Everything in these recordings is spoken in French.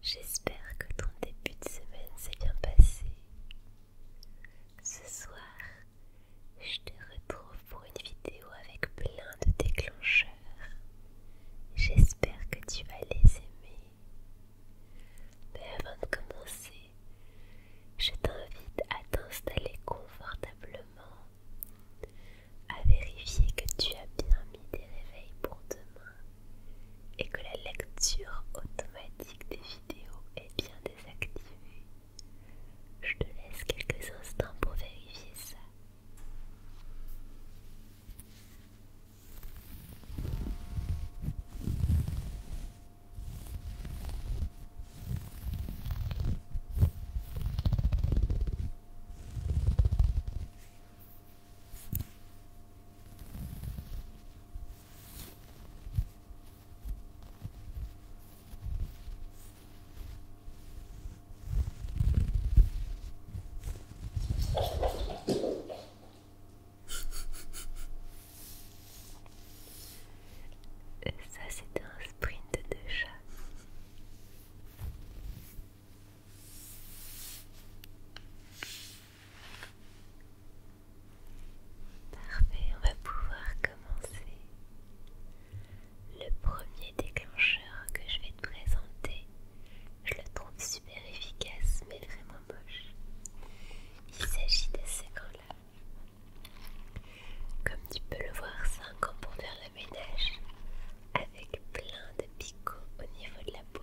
J'espère que ton début de semaine s'est bien passé. Ce soir, je te retrouve pour une vidéo avec plein de déclencheurs. J'espère que tu vas les aimer. Mais avant de commencer, je t'invite à t'installer confortablement, à vérifier que tu as bien mis des réveils pour demain et que la lecture automatique des vidéos est bien désactivée. Je te laisse quelques instants pour vérifier ça. Ça, c'était un sprint de chat. Parfait, on va pouvoir commencer. Le premier déclencheur que je vais te présenter, je le trouve super efficace mais vraiment moche. Il s'agit de ce gant-là. Comme tu peux le voir, c'est un pour faire le ménage avec plein de picots au niveau de la paume.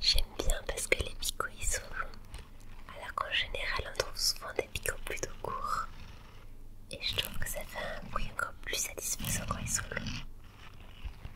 J'aime bien parce que les picots ils sont longs, alors qu'en général on trouve souvent des picots plutôt courts. Et je trouve que ça fait un bruit encore plus satisfaisant quand ils sont longs.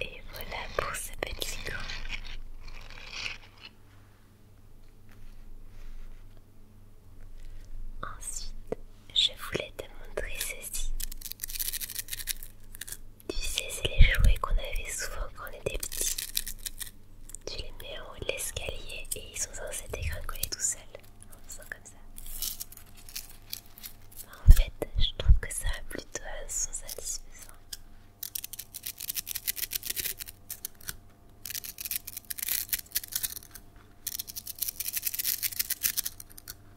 Et voilà pour ce petit gant. Ensuite, je voulais te montrer ceci. Tu sais, c'est les jouets qu'on avait souvent quand on était petits. Tu les mets en haut de l'escalier et ils sont censés dégringoler tout seuls en faisant comme ça. En fait, je trouve que ça a plutôt un son satisfaisant.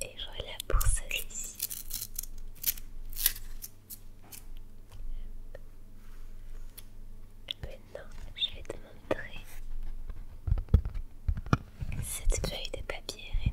Et voilà pour celui-ci. Maintenant, euh, je vais te montrer cette feuille de papier René.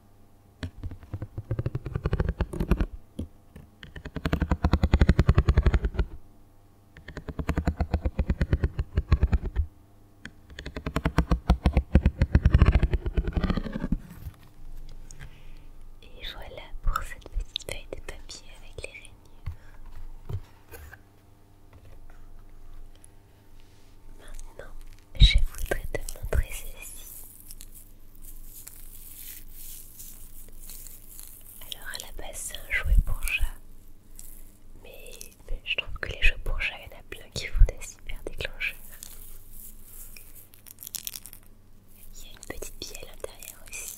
Et voilà pour cette petite feuille de papier avec les rainures. Maintenant, je voudrais te montrer ceci. Alors à la base c'est un jouet pour chat, mais, je trouve que les jeux pour chat, il y en a plein qui font des super déclencheurs. Il y a une petite bille à l'intérieur aussi.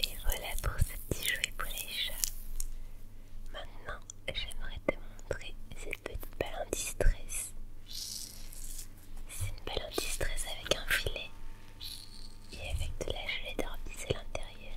Et voilà pour ce petit jouet pour les chats. Maintenant, j'aimerais te montrer cette petite balle anti-stress. C'est une balle anti-stress avec un filet et avec de la gelée d'orbice à l'intérieur.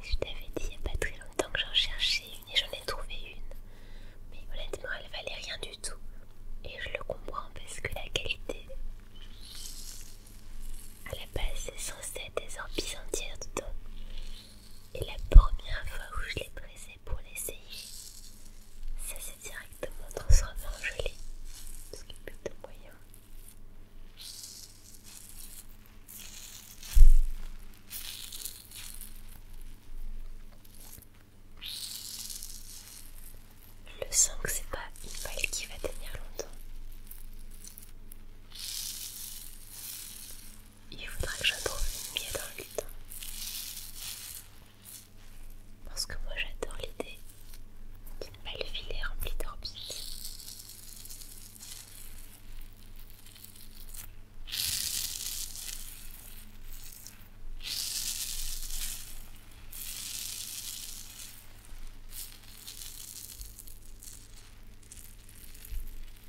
Je t'avais dit il n'y a pas très longtemps que j'en cherchais une et j'en ai trouvé une. Mais honnêtement, elle valait rien du tout. Et je le comprends parce que la qualité. À la base, c'est censé être des orbites entières dedans. Et la première fois où je l'ai pressé, pour l'essayer. Ça c'est directement transformé en gelée. n'y a est de moyen. Le 5, c'est pas une balle qui va tenir longtemps il faudra que je trouve une dans le Parce que moi j'adore l'idée d'une belle filée remplie d'orbites.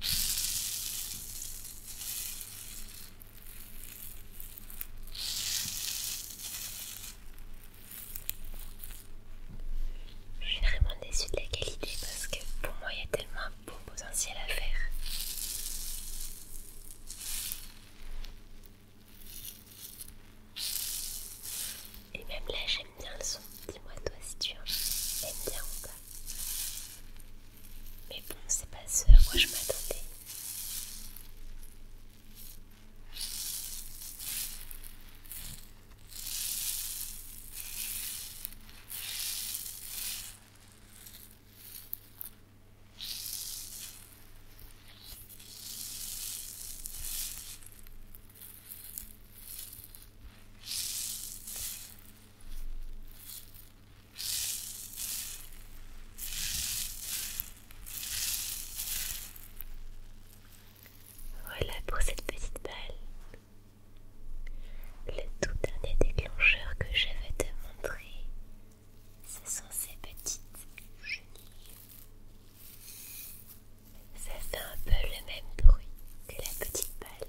Je suis vraiment déçue de la qualité parce que pour moi il y a tellement un beau potentiel à faire. Et même là j'aime bien le son. Dis-moi toi si tu aimes bien ou pas. Mais bon, c'est pas ce à quoi je m'attendais. Voilà pour cette petite balle. Le tout dernier déclencheur que j'avais vais te montrer, ce sont ces petites chenilles. Ça fait un peu le même bruit que la petite balle.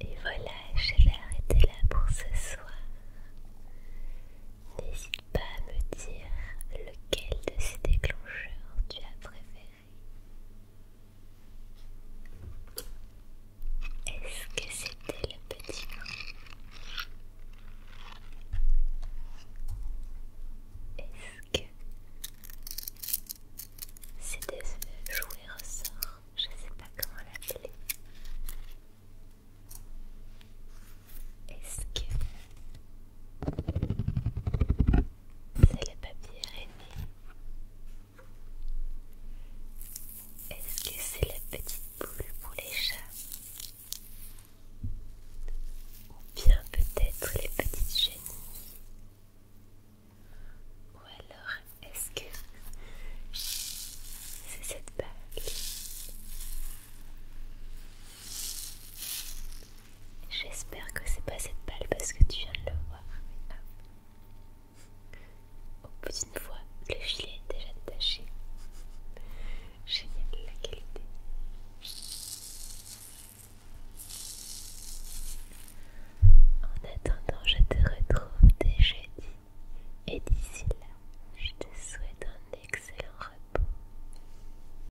Et voilà, je vais arrêter là pour ce soir. N'hésite pas à me dire lequel de ces déclencheurs tu as préféré. Est-ce que c'était le petit Est-ce que c'était ce jouet ressort Je sais pas comment l'appeler. Est-ce que c'est le papier aîné, Est-ce que c'est la petite boule pour les chats Ou bien peut-être les petites chenilles Ou alors est-ce que c'est cette bague J'espère que c'est pas cette balle parce que tu viens de le voir. Au bout d'une fois, le filet est déjà détaché. Génial la qualité. En attendant, je te retrouve dès jeudi. Et d'ici là, je te souhaite un excellent repos.